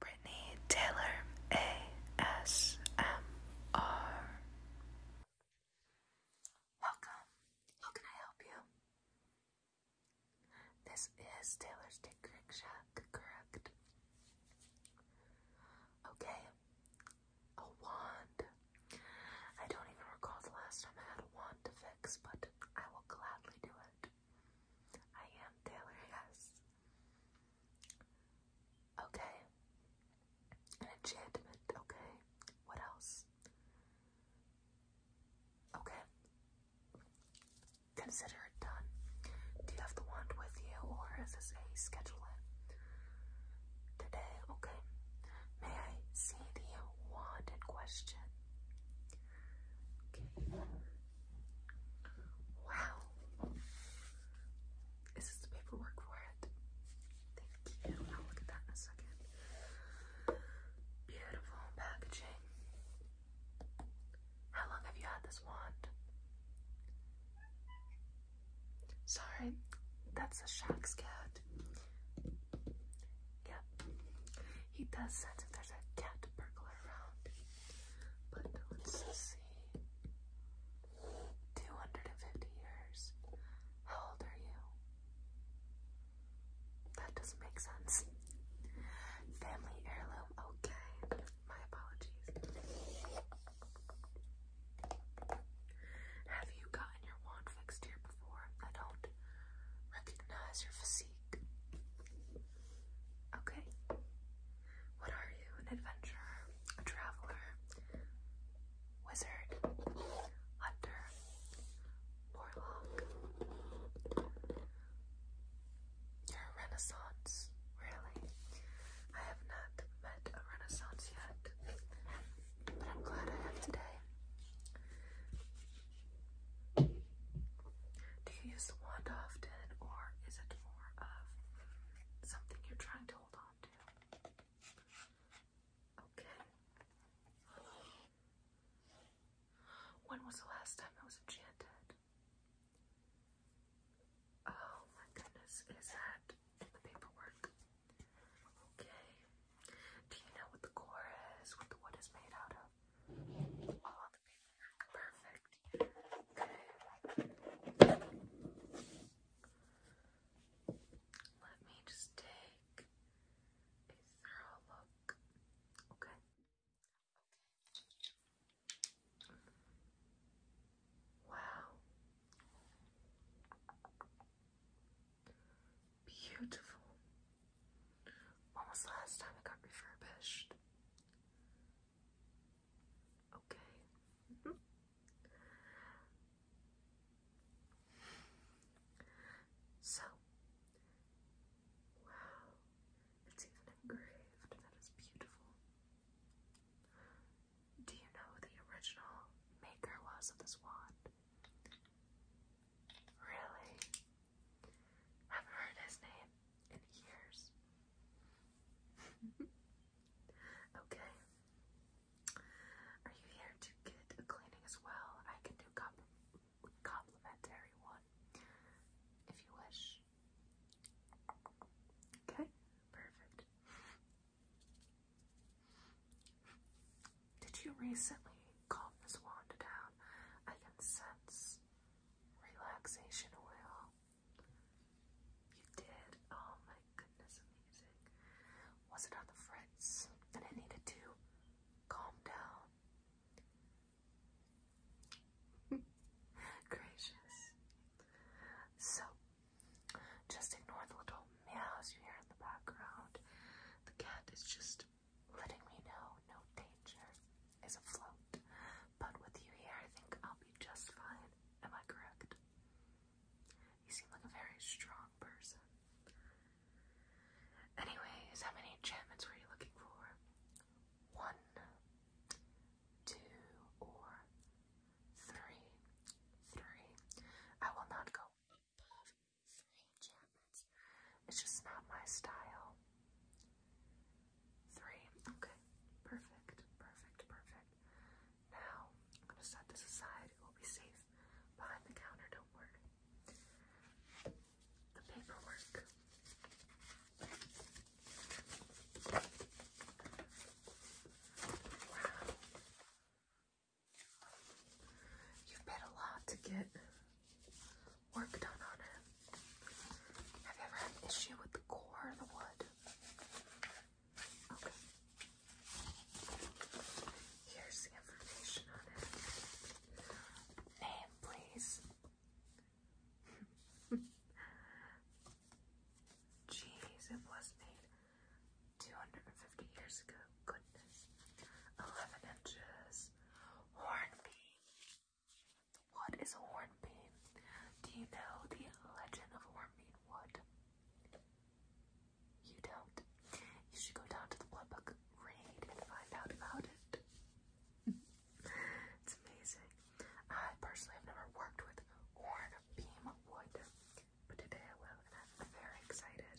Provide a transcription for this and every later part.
Brittany Taylor ASMR. Welcome. How can I help you? This is Taylor's Dick Shack, correct? Okay. A wand. I don't even recall the last time I had a wand to fix, but I will gladly do it. I am Taylor, yes. Okay. An enchantment, okay. What else? Okay. Consider it done. Do you have the wand with you or is this a schedule in? Today, okay. May I see the wand in question? Okay. Wow. Is the paperwork for it? Thank you. I'll look at that in a second. Beautiful packaging. How long have you had this wand? Sorry, that's a Shaq's cat. Yep. He does sense if there's a cat burglar around. But let's see. 250 years. How old are you? That doesn't make sense. Family heirloom, okay. My apologies. Have you gotten your wand fixed here before? I don't recognize your physique. Okay. What are you? An adventurer, a traveler, wizard, hunter, warlock. You're a renaissance, really. I have not met a renaissance yet, but I'm glad I have today. Do you use the wand often, or is it of something you're trying to hold on to. Okay. When was the last time it was enchanted? Oh my goodness, is that in the paperwork? Okay. Do you know what the core is? What the wood is made out of? Perfect. Okay. Let me just take a thorough look. Okay. Wow. Beautiful. When was the last time it got refurbished? Okay. So, wow, it's even engraved. That is beautiful. Do you know who the original maker was of this wand? Really? have heard his name in years. okay. Are you here to get a cleaning as well? I can do comp complimentary one if you wish. Okay, perfect. Did you recently calm this wand down? I can sense relaxation oil. You did? Oh my goodness, amazing. Was it on the fritz? And I needed to calm down. Gracious. So, just ignore the little meows you hear in the background. The cat is just letting me know no danger is afloat, but with you here, I think I'll be just fine. Am I correct? You seem like a very strong person. Anyways, how many enchantments were you looking for? One, two, or three. Three. I will not go above three enchantments. It's just not my style. Three. Okay. Perfect. Perfect. Perfect. Now I'm gonna set this aside. It will be safe behind the counter. Don't worry. The paperwork. Wow. You've paid a lot to get work done on it. Have you ever had an issue with the core of the wood? Okay. Here's the information on it. Name, please. Jeez, it was made 250 years ago. Goodness. 11 inches. Hornby. What is a hornbeam? Do you know the legend of hornbeam wood? You don't. You should go down to the blood book, read, and find out about it. it's amazing. I personally have never worked with hornbeam wood, but today I will, I'm very excited.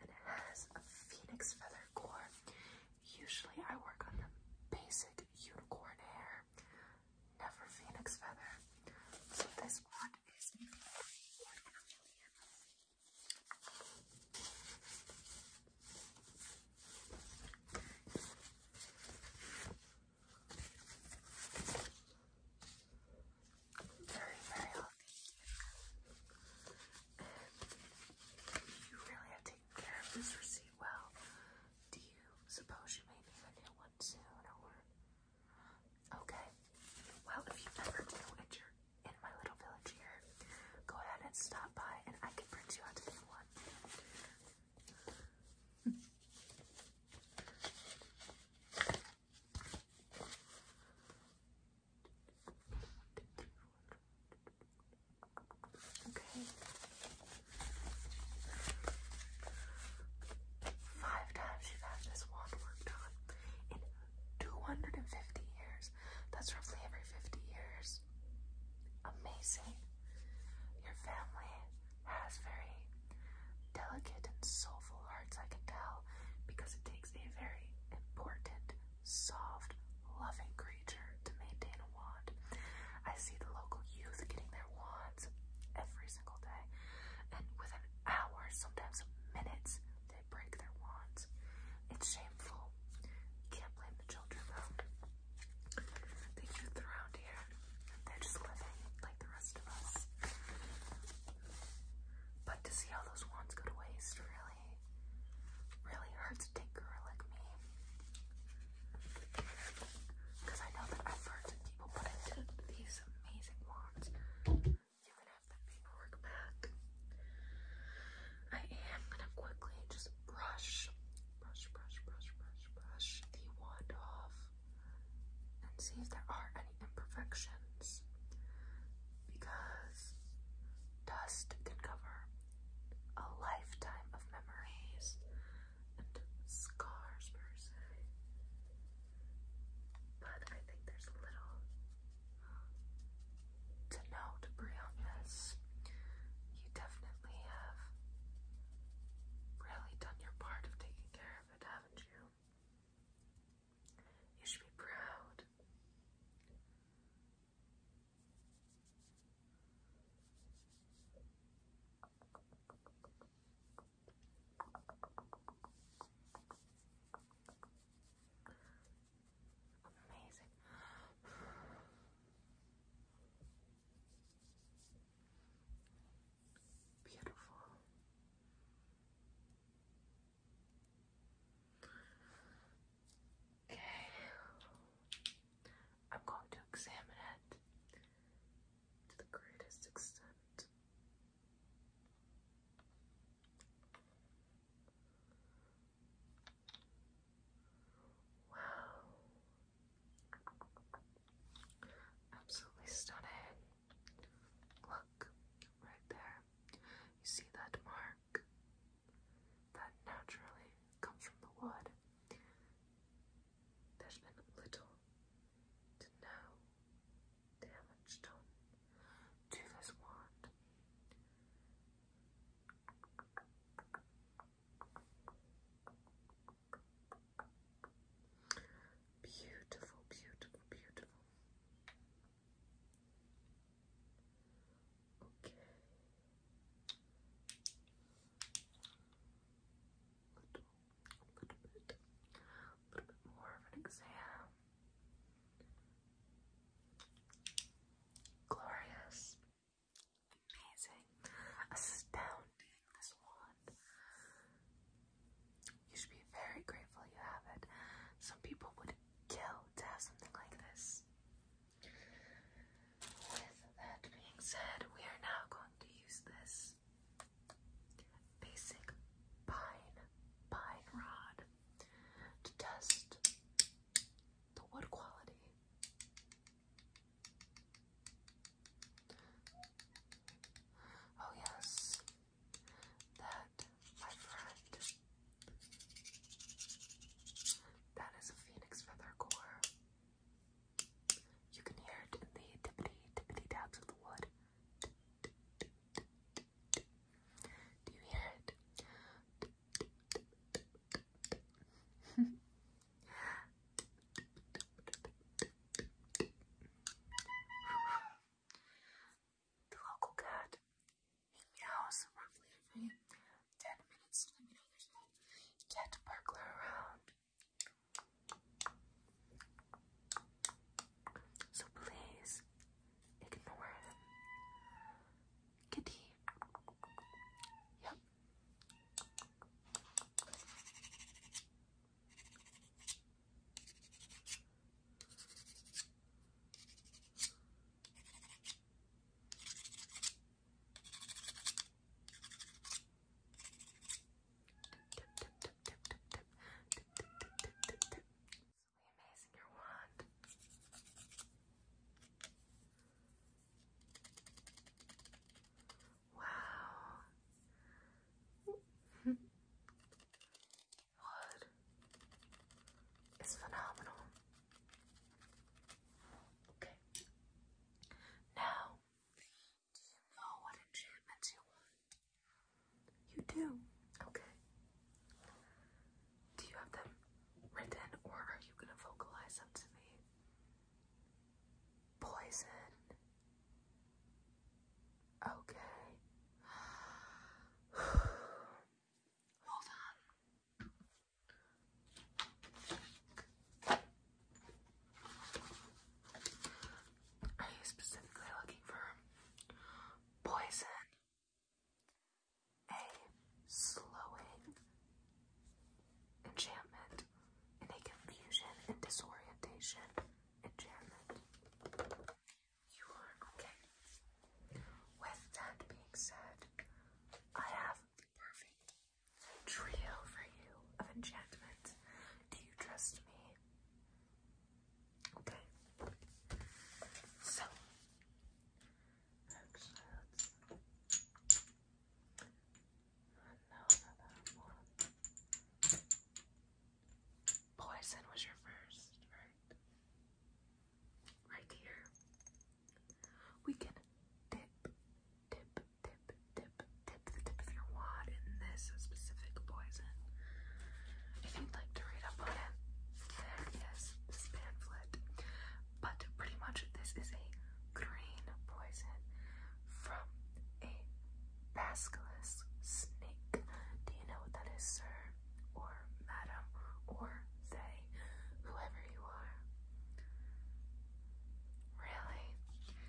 And it has a phoenix feather core. Usually I work on the basic unicorn hair, never phoenix feather. So this one is Very, very healthy. you really have taken care of this receipt well. Do you suppose you may need a new one soon, or? Okay. Well, if you ever do, and you in my little village here, go ahead and stop by, and I can print you out a new one. Okay. Five times you've had this wand worked on in 250 years. That's roughly every 50 years. Amazing. Your family has very delicate and soulful hearts, I can tell, because it takes a very important, soft, loving creature to maintain I see the local youth getting their wands every single day, and within hours, sometimes minutes, they break their wands. It's shameful. Can't blame the children though. The youth around here, they're just living like the rest of us. But to see how those wands go to waste really, really hurts a tinkerer like me. Because I know the effort people put into these amazing wands. You can the paperwork back. I am gonna quickly just brush, brush, brush, brush, brush, brush the wand off and see if there are any imperfections. Because dust can cover a lifetime of memories scars per se. But I think there's little um, to know to on this. You definitely have really done your part of taking care of it, haven't you? You should be proud. Amazing. Beautiful. Okay. I'm going to examine it to the greatest extent. Wow. Absolutely stunning. Look right there. You see that mark? That naturally comes from the wood. There's been little to no damage done to this wand. Beautiful, beautiful, beautiful. Okay little, little bit, a little bit more of an exam. Glorious, amazing, astounding. This wand. You should be very grateful you have it. Some people would kill to have something like this. With that being said, we are now going to use this basic pine pine rod to test the wood quality. Oh yes, that my friend. That is a phoenix feather core. You can hear it in the tippity tippity taps of the wood. Do you hear it? the local cat meows roughly every 10 minutes to the minute or so. Cat burglar around. So please ignore him. Kitty. Yep amazing your Wow. Wood phenomenal. Okay. Now do you know what enchantments you want? You do. Okay. Do you have them written or are you going to vocalize them to me? Poison. Okay. Hold on. Are you specifically looking for poison? A slowing enchantment and a confusion and disorientation enchantment. You are okay. With that being said, I have perfect trio for you of enchantment. Do you trust me? Okay. So, actually, let's. that one. Poison was your first, right? Right here. We can dip, dip, tip, tip, tip the tip of in this specific poison. If you'd like to read up it, there is pamphlet. But pretty much this is a green poison from a basilisk snake. Do you know what that is, sir? Or madam? Or they? Whoever you are. Really?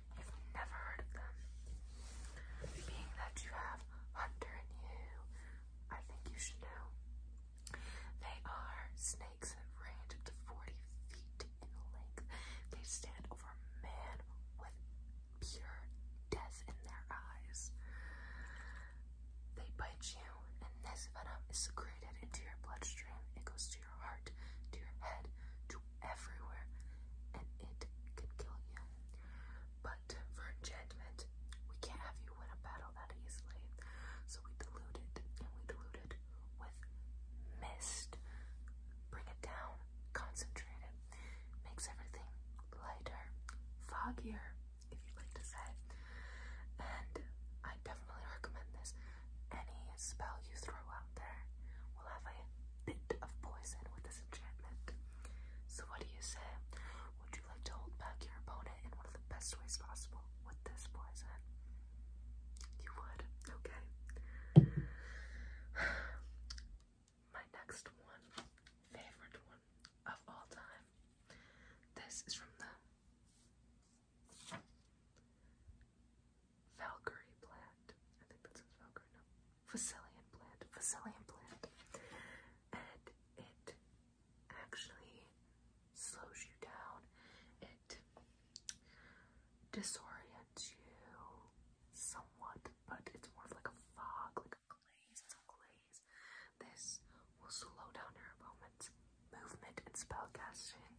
You've never heard of them. Being that you have Hunter in you, I think you should know. They are snakes that range up to 40 feet in length. They stand over man with pure death in their eyes. They bite you, and this venom is secreted into your bloodstream. It goes to your heart, to your head, to everywhere, and it can kill you. But for enchantment, we can't have you win a battle that easily. So we dilute it, and we dilute it with mist. Bring it down, concentrate it. Makes everything lighter, foggier, if you'd like to say. And I definitely recommend this. Any spell you throw out there will have a bit of poison with this enchantment. So, what do you say? Would you like to hold back your opponent in one of the best ways possible with this poison? You would. Okay. My next one, favorite one of all time. This is from the Valkyrie plant. I think that says Valkyrie, no. plant. Vasilian plant. And it actually slows you down. It disorients you somewhat, but it's more of like a fog, like a glaze. It's a glaze. This will slow down your opponent's movement and spell casting.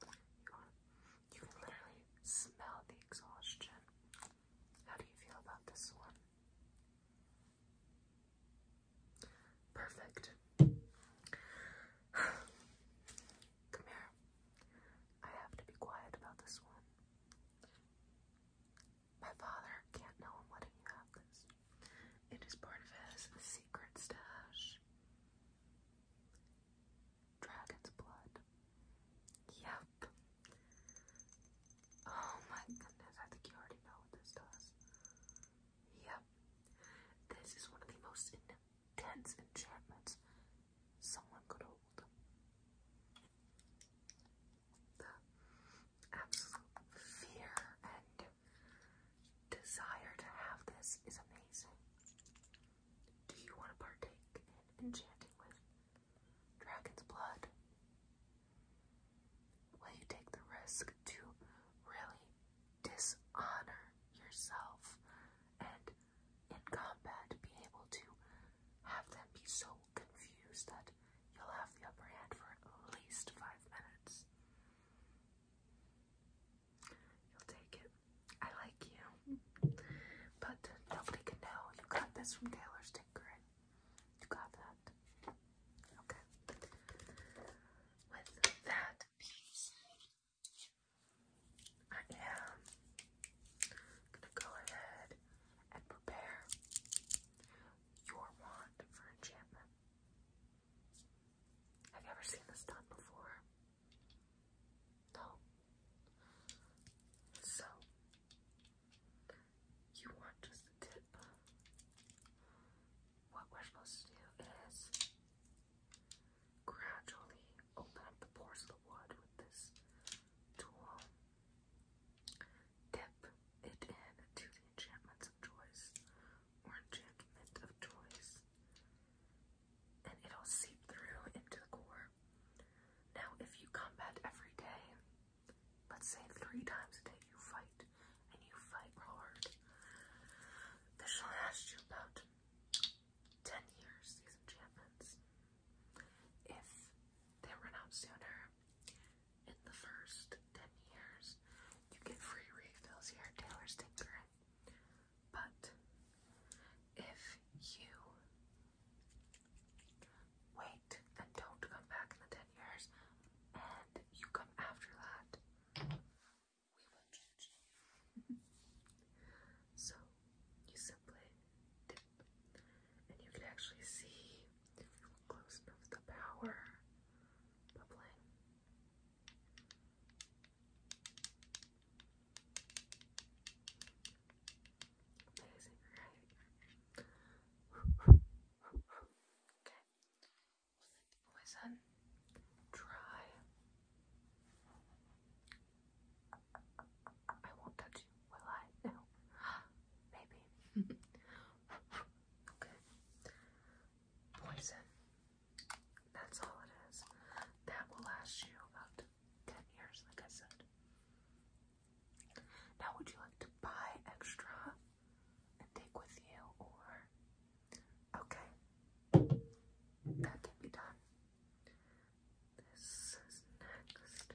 You can literally smell the exhaustion. How do you feel about this one? Perfect. Come here. I have to be quiet about this one. My father can't know I'm letting you have this. It is part of his secret stash. Dragon's blood. Yep. Oh my goodness, I think you already know what this does. Yep. This is one of the most intense enchantments someone could hold. The absolute fear and desire to have this is amazing. Do you want to partake in enchanting with dragon's blood? Will you take the risk to really dishonor yourself and in combat be able to have them be so confused that you'll have the upper hand for at least five minutes? You'll take it. I like you. But nobody can know. You got this from Taylor's Tinkering. You got that. Okay. With that piece, I am gonna go ahead and prepare your wand for enchantment. Have you ever seen this done before? So, you want just a What we're supposed to do is gradually open up the pores of the wood with this tool. Dip it in to the enchantments of choice or enchantment of choice and it'll seep through into the core. Now, if you combat every day, let's say three times a day you fight, and you fight hard, this shall last you about 10 years, these champions. If they run out sooner, in the first 10 years, you get free refills here at Taylor's Tinker. But if you wait and don't come back in the 10 years and you come after that, we will judge so you simply dip, and you can actually see close enough the power bubbling okay. poison dry. I won't touch you, will I? No. Maybe. okay. Poison that's all it is. That will last you about 10 years, like I said. Now, would you like to buy extra and take with you, or? Okay. That can be done. This is next.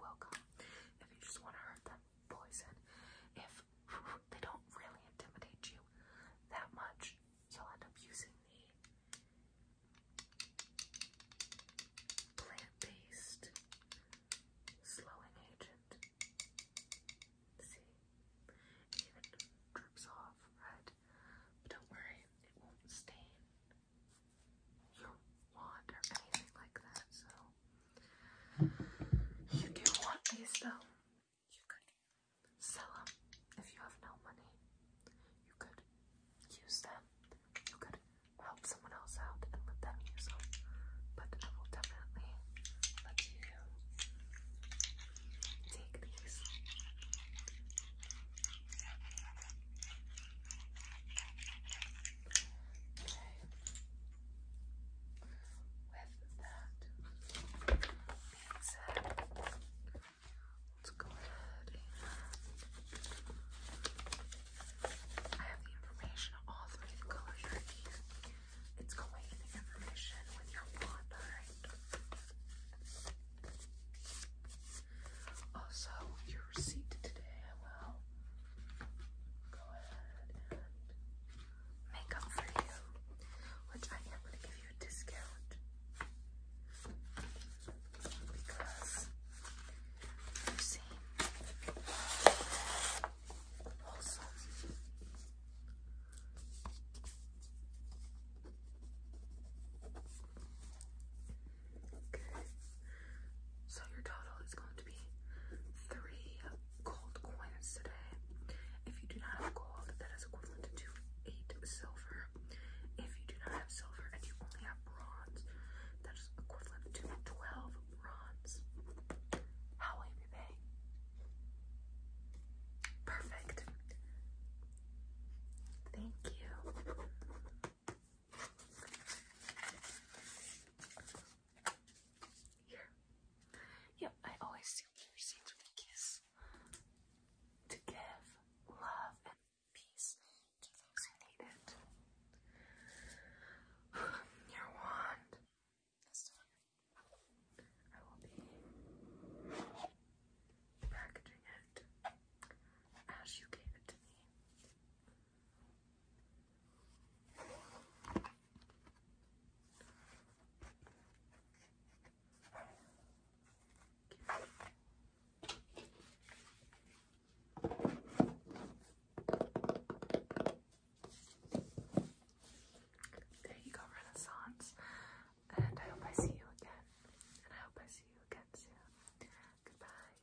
welcome. If you just want to hurt them, poison. If they don't really intimidate you that much, you'll end up using the plant-based slowing agent. See? It even drips off, right? But don't worry, it won't stain your wand or anything like that, so you do want these though. You could sell them if you have no money. You could use them. You could help someone else out and let them use them. But I will definitely let you take these with that let's go ahead I have the information on all three of the colors right here. It's the information with your wand, alright? Also, your receipt today, go ahead and make up for you, which I am going to give you a discount because you seem wholesome. So your total is going to be three gold coins today. If you do not have gold, that is equivalent to eight silver. If you do not have silver and you only have bronze, that is equivalent to twelve bronze. How will you be paying? Perfect. Thank you. Here. I always seal the receipts with a kiss. To give love and peace to those who need it. Your wand. This time, I will be packaging it as you gave it to me. There you go, Renaissance. And I hope I see you again. And I hope I see you again soon. Goodbye.